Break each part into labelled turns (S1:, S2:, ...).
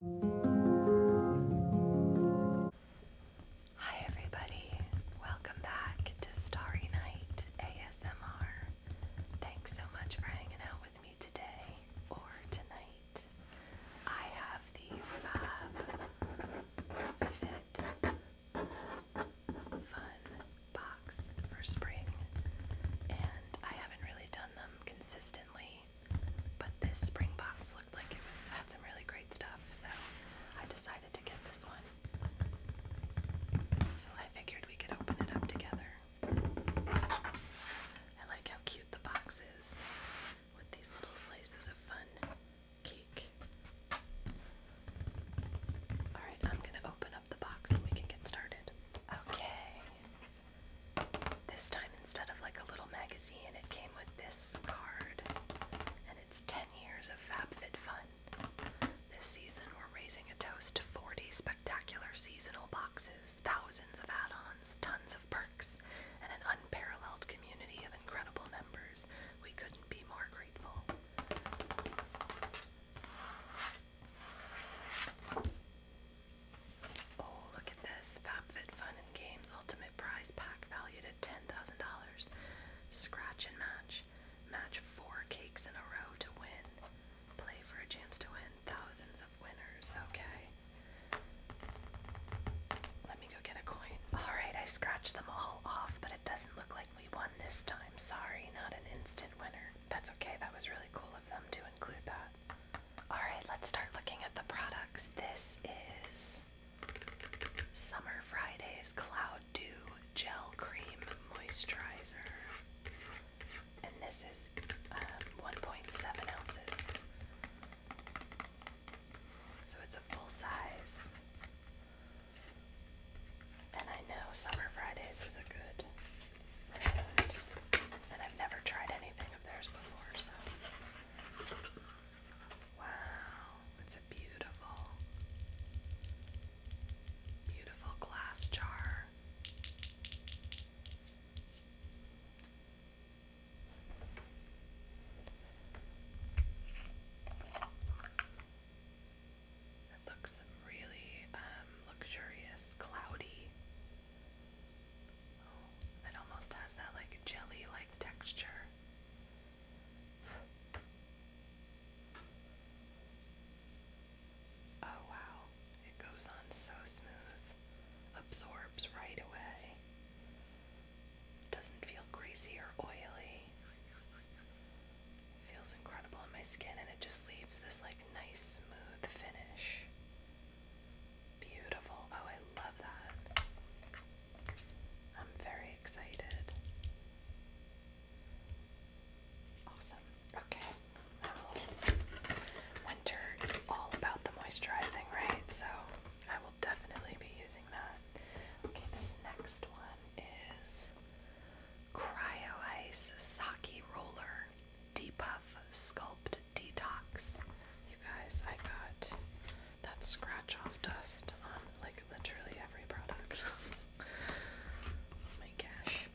S1: Hi, everybody. Welcome back to Starry Night ASMR. Thanks so much for hanging out with me today or tonight. I have the Fab Fit Fun box for spring, and I haven't really done them consistently but this spring box looked like it was had some really great stuff, so I decided to get this one. So I figured we could open it up together. I like how cute the box is with these little slices of fun cake. Alright, I'm gonna open up the box and we can get started. Okay, this time, instead of like a little magazine, it came with this card, and it's 10 years of FabFitFun. This season, we're raising a toast to 40 spectacular seasonal boxes, thousands of add ons, tons of perks, and an unparalleled community of incredible members. We couldn't be more grateful. Oh, look at this. FabFitFun and Games Ultimate Prize Pack valued at $10,000. Scratch and match. Match four cakes in a row to win. Play for a chance to win thousands of winners. Okay. Let me go get a coin. Alright, I scratched them all off, but it doesn't look like we won this time. Sorry, not an instant winner. That's okay, that was really cool of them to include that. Alright, let's start looking at the products. This is Summer Fridays Cloud Dew Gel Cream Moisturizer. And this is um, 1.7 ounces. So it's a full size. And I know Summer Fridays is a good and I've never tried anything of theirs before, so. Wow, it's a beautiful, beautiful glass jar. It looks really um, luxurious, cloudy. It almost has that like jelly like texture. Oh wow, it goes on so smooth, absorbs right away, doesn't feel greasy or oily. Feels incredible on my skin, and it just leaves this like nice smooth finish. Beautiful. Oh, I love that. I'm very excited. Awesome. Okay. Winter is all about the moisturizing, right? So I will definitely be using that. Okay, this next one is Cryo Ice Sake Roller puff Sculpt Detox. You guys, I got that scratch off dust on like literally every product. Oh my gosh.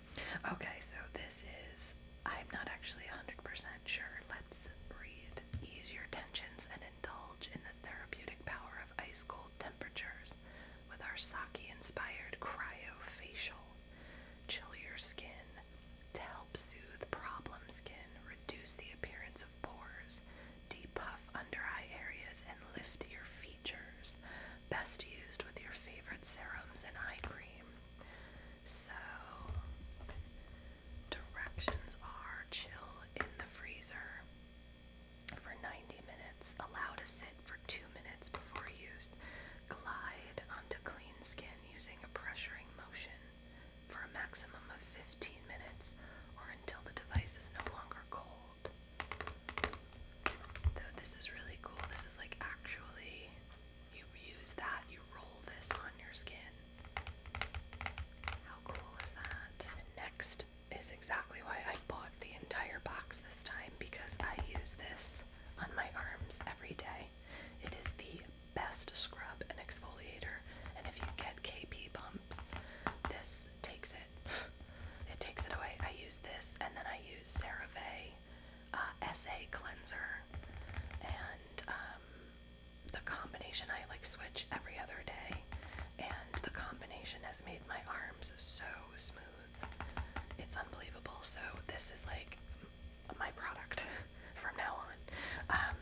S1: Okay, so this is, I'm not actually 100% sure. Let's read. Ease your tensions and indulge in the therapeutic power of ice cold temperatures with our sake inspired cryo facial chill your skin to help soothe problem skin, reduce the appearance of pores, depuff under eye areas, and lift your features. Best used with your favorite serums and eye cream. So, directions are chill in the freezer for 90 minutes. Allow to sit for 2 minutes before use. Glide onto clean skin using a pressuring motion for a maximum of 15 minutes or until the device is no longer cold. Though this is really cool. This is like actually you use that, you roll this on your skin. How cool is that? next is exactly why I bought the entire box this time because I use this on my arms every day. It is the best scrub and exfoliator, and if you get KP bumps, this takes it. It takes it away. I use this, and then I use CeraVe uh, SA Cleanser, and um, the combination I like switch every other day, and the combination has made my arms so smooth. It's unbelievable. So this is like my product from now on. Um,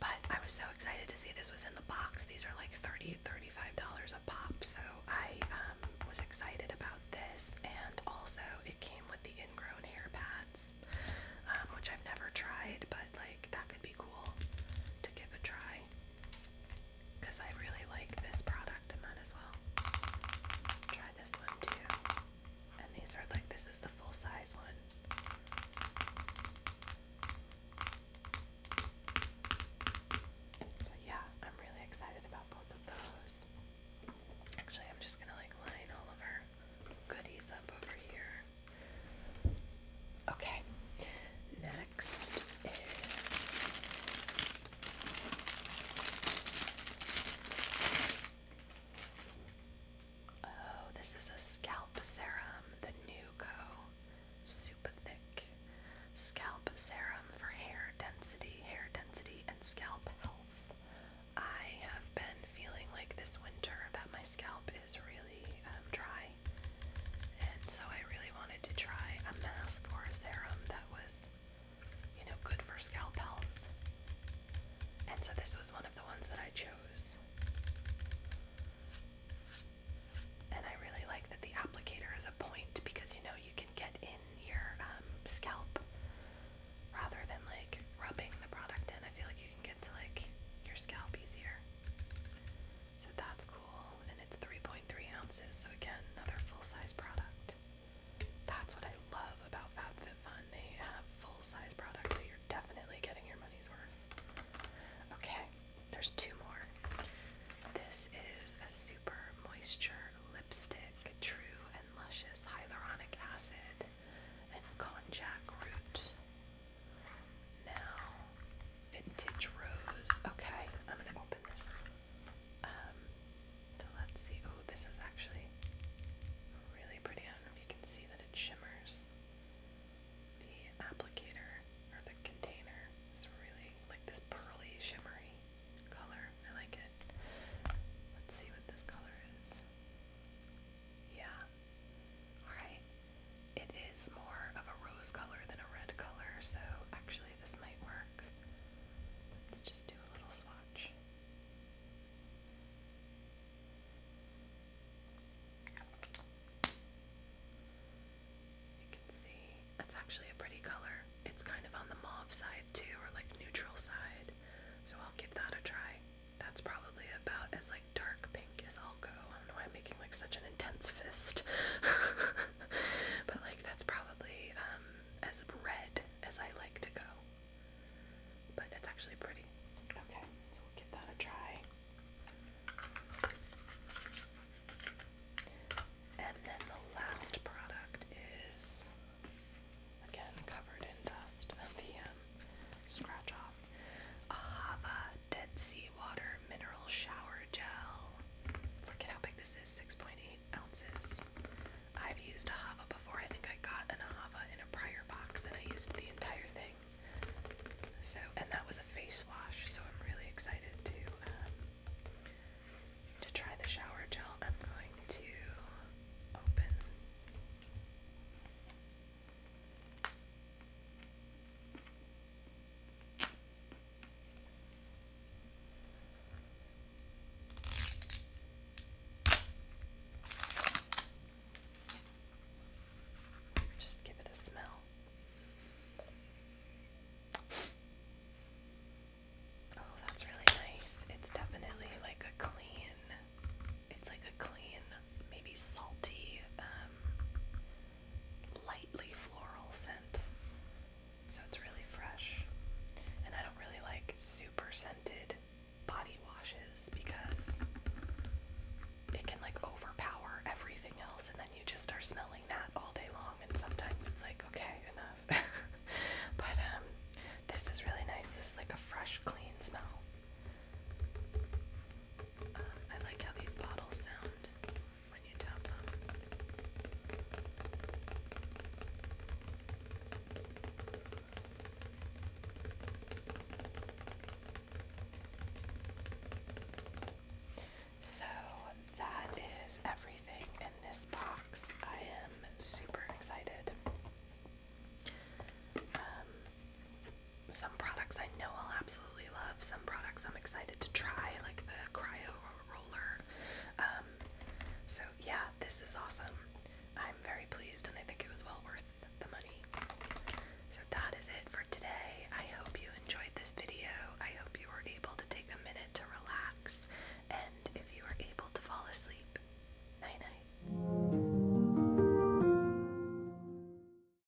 S1: but I was so excited to see this was in the box. These are like 30 $35 a pop. So I um, was excited about this. And also it came with the ingrown hair pads, um, which I've never tried, but like that could be cool to give a try because I really like this product. I might as well try this one too. And these are like this is the full size one. So yeah, I'm really excited about both of those. Actually, I'm just gonna like line all of our goodies up over here. Okay, next is Oh, this is a scalp serum, the Nuco Super Thick Scalp Serum for hair density, hair density, and scalp health. I have been feeling like this winter that my scalp is really um, dry, and so I really wanted to try a mask or a serum that was you know, good for scalp health. And so this was one of the ones that I chose. And I really like that the applicator is a point because you know you can get in your um, scalp rather than like rubbing the product in. I feel like you can get to like your scalp easier. So that's cool. And it's 3.3 ounces. So again, another full size product. That's what I love about FabFitFun. They have full size products, so you're definitely getting your money's worth. Okay, there's two more. This is a super moisture lipstick, true and luscious hyaluronic acid and konjac root. Now, vintage rose. Okay, I'm gonna open this. Um, so let's see. Oh, this is actually really pretty. I don't know if you can see that it shimmers. The applicator or the container is really like this pearly, shimmery color. I like it. Let's see what this color is. Yeah. Alright. It is more of a rose color than a red color, so actually this might work. Let's just do a little swatch. You can see that's actually a pretty color. It's kind of on the mauve side too, or like neutral side. So I'll give that a try. That's probably about as like dark pink as I'll go. I am making like such an intense fist. but like that's probably um, as red as I like to go. But it's actually pretty. Okay, so we'll give that a try. And then the last product is again covered in dust of um, scratch off. Ahava Dead Sea Water Mineral Shower Gel. Look at how big this is 6.8 ounces. I've used a Hava before. I think I got an Hava in a prior box and I used the entire thing. So, and that was a face wash, so I'm really excited to um, to try the shower gel. I'm going to open just give it a smell. Oh, that's really nice. It's definitely like a clean, it's like a clean, maybe salty, um, lightly floral scent. So it's really fresh. And I don't really like super scented body washes because it can like overpower everything else and then you just are smelling that all day long and sometimes it's like okay enough but um, this is really nice this is like a fresh clean smell um, I like how these bottles sound so that is everything in this box. I am super excited. Um, some products I know I'll absolutely love, some products I'm excited to try, like the cryo roller. Um, so, yeah, this is awesome. I'm very pleased and I think it was well worth the money. So, that is it for today. I hope you enjoyed this video. I hope you were able to take a minute to relax, and if you were able to fall asleep, night night.